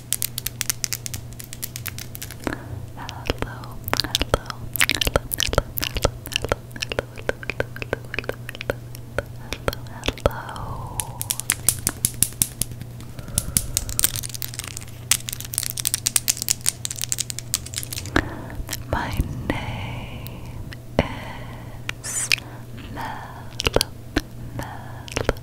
hello, hello, hello, hello, hello, hello, hello, hello, hello, hello, hello. My name is Mel, Mel,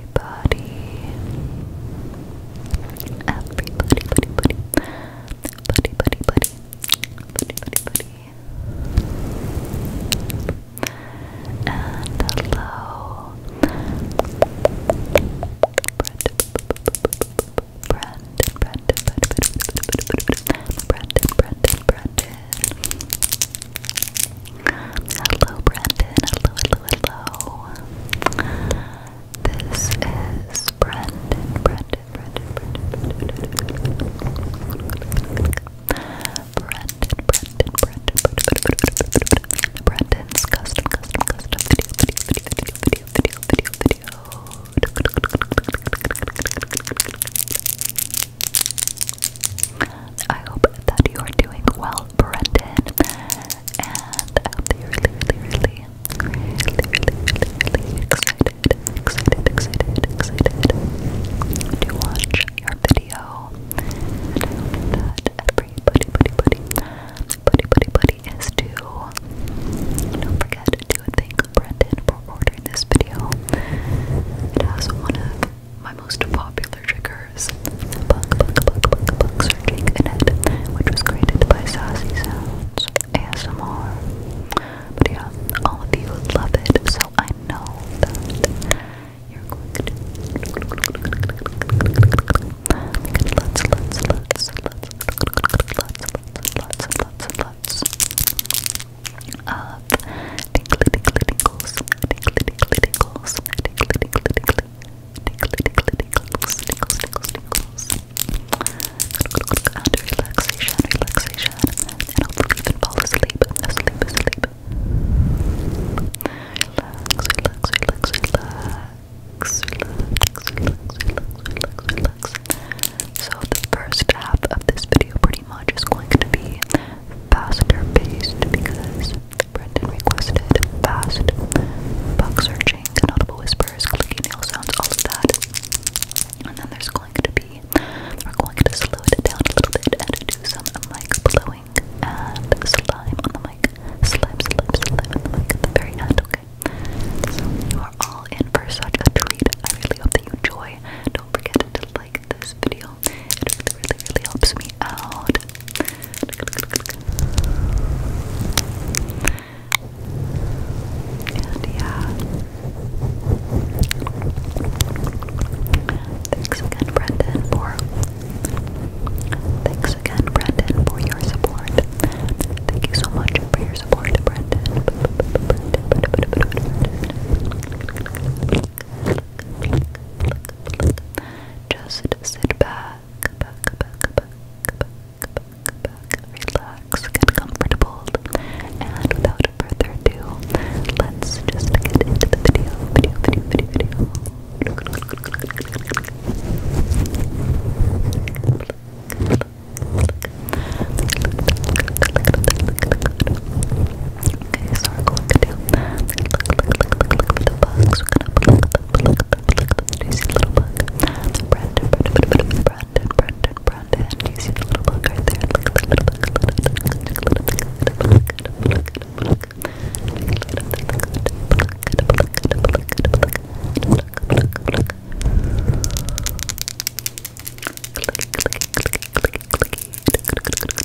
everybody. Everybody, buddy, buddy. Buddy, buddy, buddy. Buddy, buddy, buddy. And hello. Brandon, Brandon, Brandon, Brandon, Brandon. Hello, Brandon. Hello, hello, hello. This is Brendan, Brendan, Brendan, Brendan, Brendan, Brendan. Brendan, Brendan, Brendan, Brendan, Brendan's custom, custom, custom video, video, video, video, video, video, video, video. I hope that you are doing well, Brendan and I hope that you're really, really, really, really, really, really excited, excited, excited, excited to watch your video. And I hope that everybody, buddy, buddy, buddy, buddy, buddy is to don't forget to thank Brendan for ordering this video. It one of my most popular triggers was Searching the Net, which was created by Sassy Sounds ASMR. But yeah, all of you love it, so I know that you're going to. Let's, let's, let's, let's, let's, let's, let's, let's. Of tinkly tinkly tinkles, tinkly tinkly tinkles, tinkly tinkly tinkly, tingles, tingles, tingles, tingles. And relaxation, relaxation. And hopefully you can fall asleep, asleep, asleep. Relax, relax, relax, relax. Relax, relax, relax, relax, relax. So the first half of this video pretty much is going to be faster paced because Brendan requested fast bug searching, audible whispers, clicky nail sounds, all of that. And then there's going to be, we're going to slow it down a little bit and do some mic blowing and slime on the mic. Slime, slime, slime on the at the very end, okay? So you are all in for such a treat. I really hope that you enjoy. Don't forget to like this video. It really, really, really helps me out. And yeah. Thanks again, Brendan, for thanks again, Brendan, for your support. Thank you so much for your support, Brendan. Just sit back, back, back, back, back, back, back, back. Relax, get comfortable, and without further ado, let's just get into the video, video, video, video, video. Pluck, pluck, pluck, pluck, pluck. Okay, so we're going to do look, look, look, look, look for the bugs. We're gonna pluck, pluck, pluck, Look do you see the little bug? Brandon, Brandon, Brandon, Brandon, Brandon. Do you see the little bug right there? Look at the little bug. Look at the little bug. Look at the little bug. Clicky, clicky, clicky, clicky, clicky.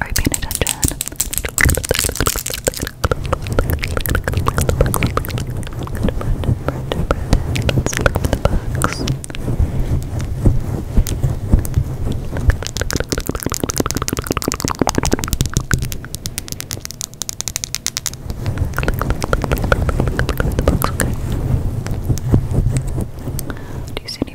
Are you paying attention? Do you see any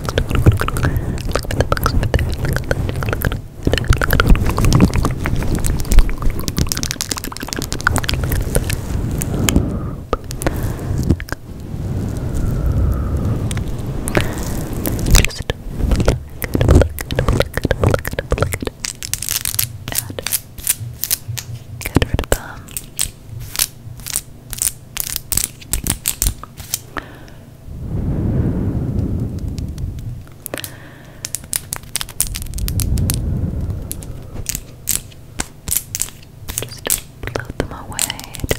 books. Look at the books over there. Look, look, look, look. Just Add. Get rid of them. Just float them away. Just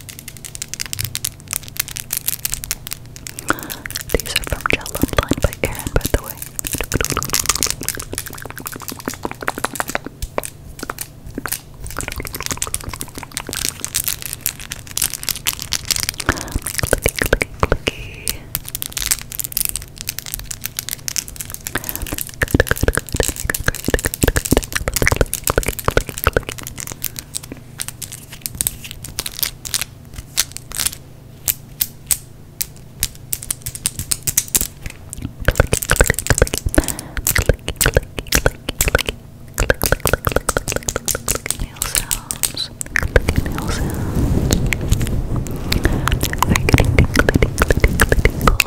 These are from Gel Online by Erin, by the way. Good, good, good. Good, good, good. Nail sounds. Nail sounds. Very tickly, tickly, tickly, tickly, tickly, tickly,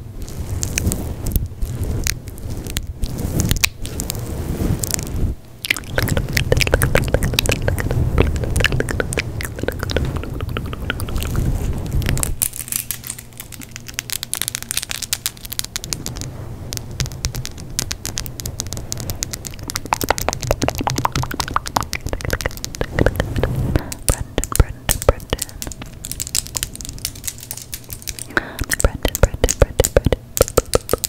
Brendan, Brendan, Brendan. Brendan, Brendan, Brendan, Brendan. Brendan,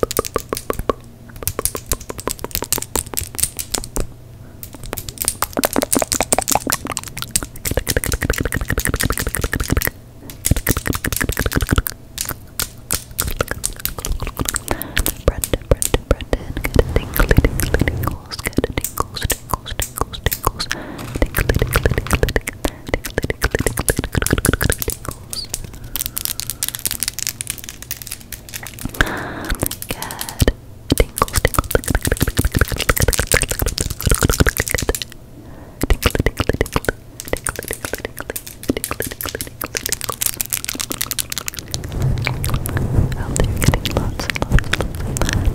Brendan, Brendan, get a tingle, tingle, tingles, get a tingles, tingles, tingles, tingles, tingles, tingles. Good. Tingles, tingles, lots and lots of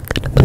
Put them away.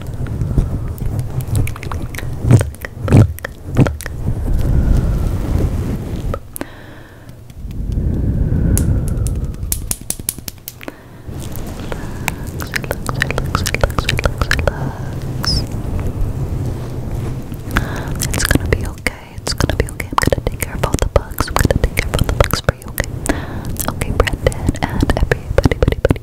It's gonna be okay. It's gonna be okay. I'm gonna take care of all the bugs. I'm gonna take care of all the bugs for you, okay? Okay, Brendan and everybody, buddy, buddy,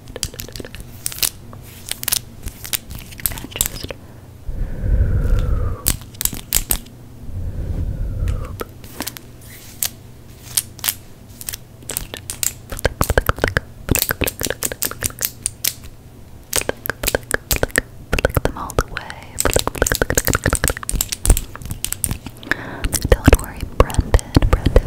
And just Flick them all the way. Don't worry, Brendan, Brendan,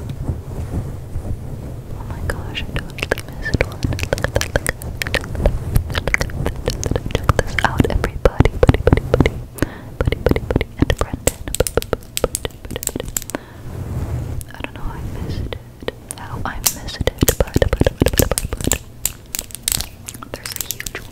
Oh my gosh, I totally missed one. Look at that, look at that. Check this out, everybody. Buddy, buddy, buddy. Buddy, buddy, buddy. And Brendan. I don't know how I missed it. How I missed it. But, but, but, but, but, but. There's a huge one.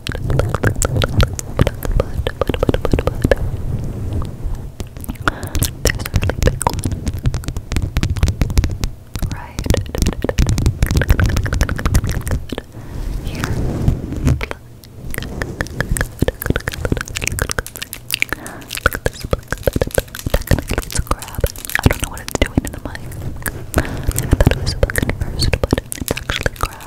Right here. it's a crab. I don't know what it's doing in the mic. I thought it was a book but it's actually crab.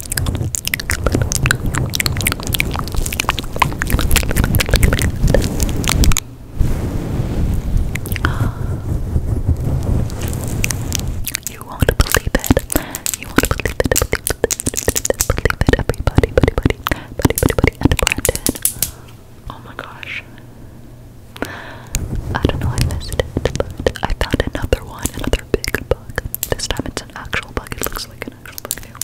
You won't believe it. You won't believe it. Believe it. Believe it. Everybody, buddy, buddy, buddy, buddy, and Brandon. Oh my gosh. I don't know. I missed it, but I found another one, another big bug. This time it's an actual bug. It looks like an actual bug.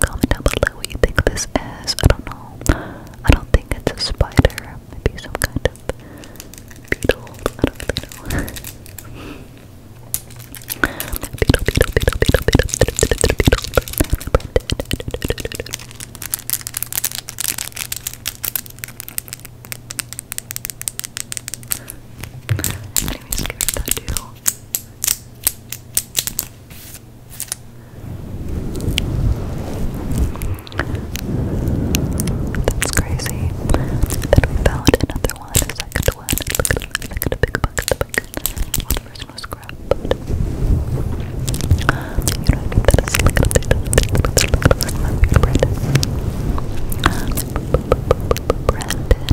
Comment down below what you think this is. I don't know. I don't think it's a spider. Maybe some kind of beetle. I don't know. beetle, beetle, beetle, beetle, beetle, beetle, beetle, beetle, Anyways, give it that doodle. That's crazy. Then we found another one, a second one. Look at the big bucket, the bucket. the first one was grab food. You know, that is like a Brandon. Brandon, Brandon, Brandon. Brandon.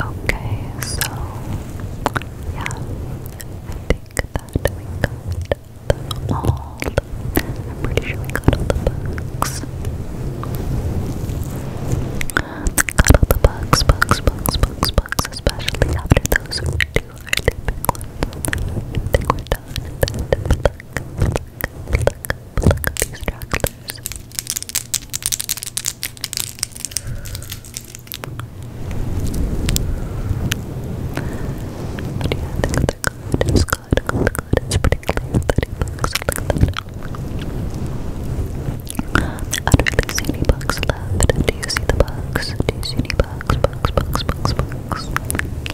Okay, so yeah, I think that we got them all. I'm pretty sure we got all the bugs. Got all the bugs, bugs, bugs, bugs, bugs, especially after those two really big ones. I think we're done pluck, pluck, pluck these stragglers. But yeah, I think they're good. It's good, good, good. It's pretty clear that he looks like that. I don't see any bugs left. Do you see the bugs? Do you see any bugs? Bugs, bugs, bugs, bugs.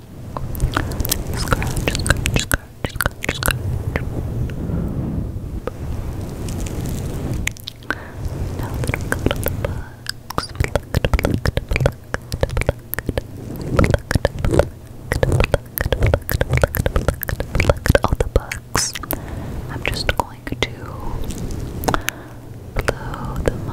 Scratch, scratch, scratch, scratch, scratch. Now that I've got all the bugs, plucked, plucked, plucked, plucked, plucked, plucked, plucked, plucked, plucked, plucked all the bugs. I'm just going to blow them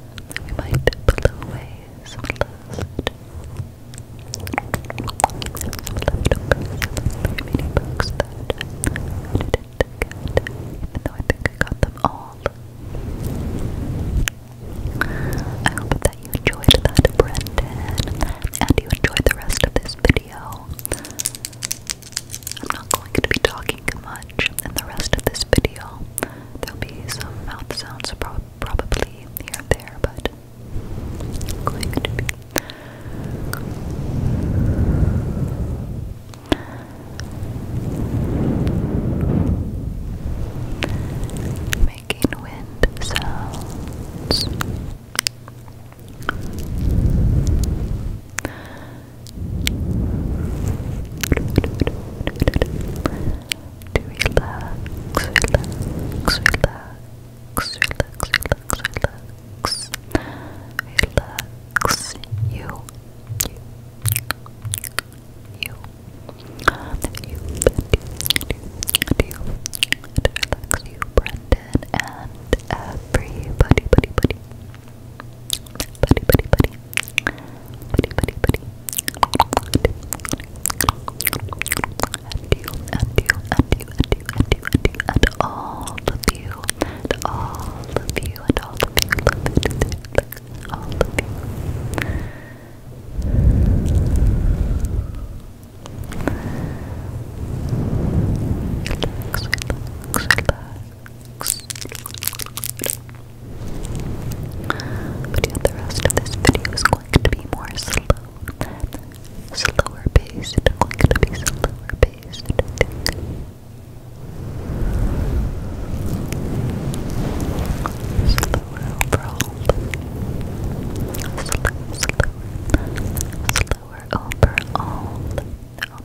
we might blow away some dust. Some leftovers, some remaining books that I didn't get, even though I think I got them all. I hope that you enjoyed that, Brendan, and you enjoyed the rest of this video. I'm not going to be talking much and the rest of this video. There'll be some mouth sounds probably here and there, but going to be making wind sounds to relax, relax, relax, relax, relax, relax, relax, you, you, you, you, you, you, relax, you, Brendan, and everybody, buddy, buddy, buddy. Buddy, buddy, buddy. Buddy, buddy, buddy. And you, and you, and you, and you, and you, and you, and all of you, and all of you, and all of you, love it, look, all of you. Relax, relax, relax. But yeah, the rest of this video is going to be more slow slower paced. Going to be slower paced, Slower overall. Slower, slower. Slower overall. Overall.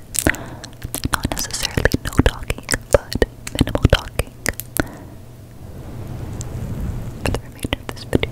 Not necessarily no talking, but minimal talking for the remainder of this video.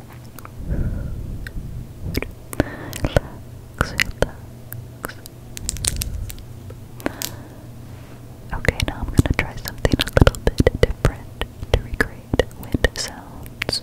Relax, relax. Okay, now I'm gonna try something a little bit different to recreate wind sounds.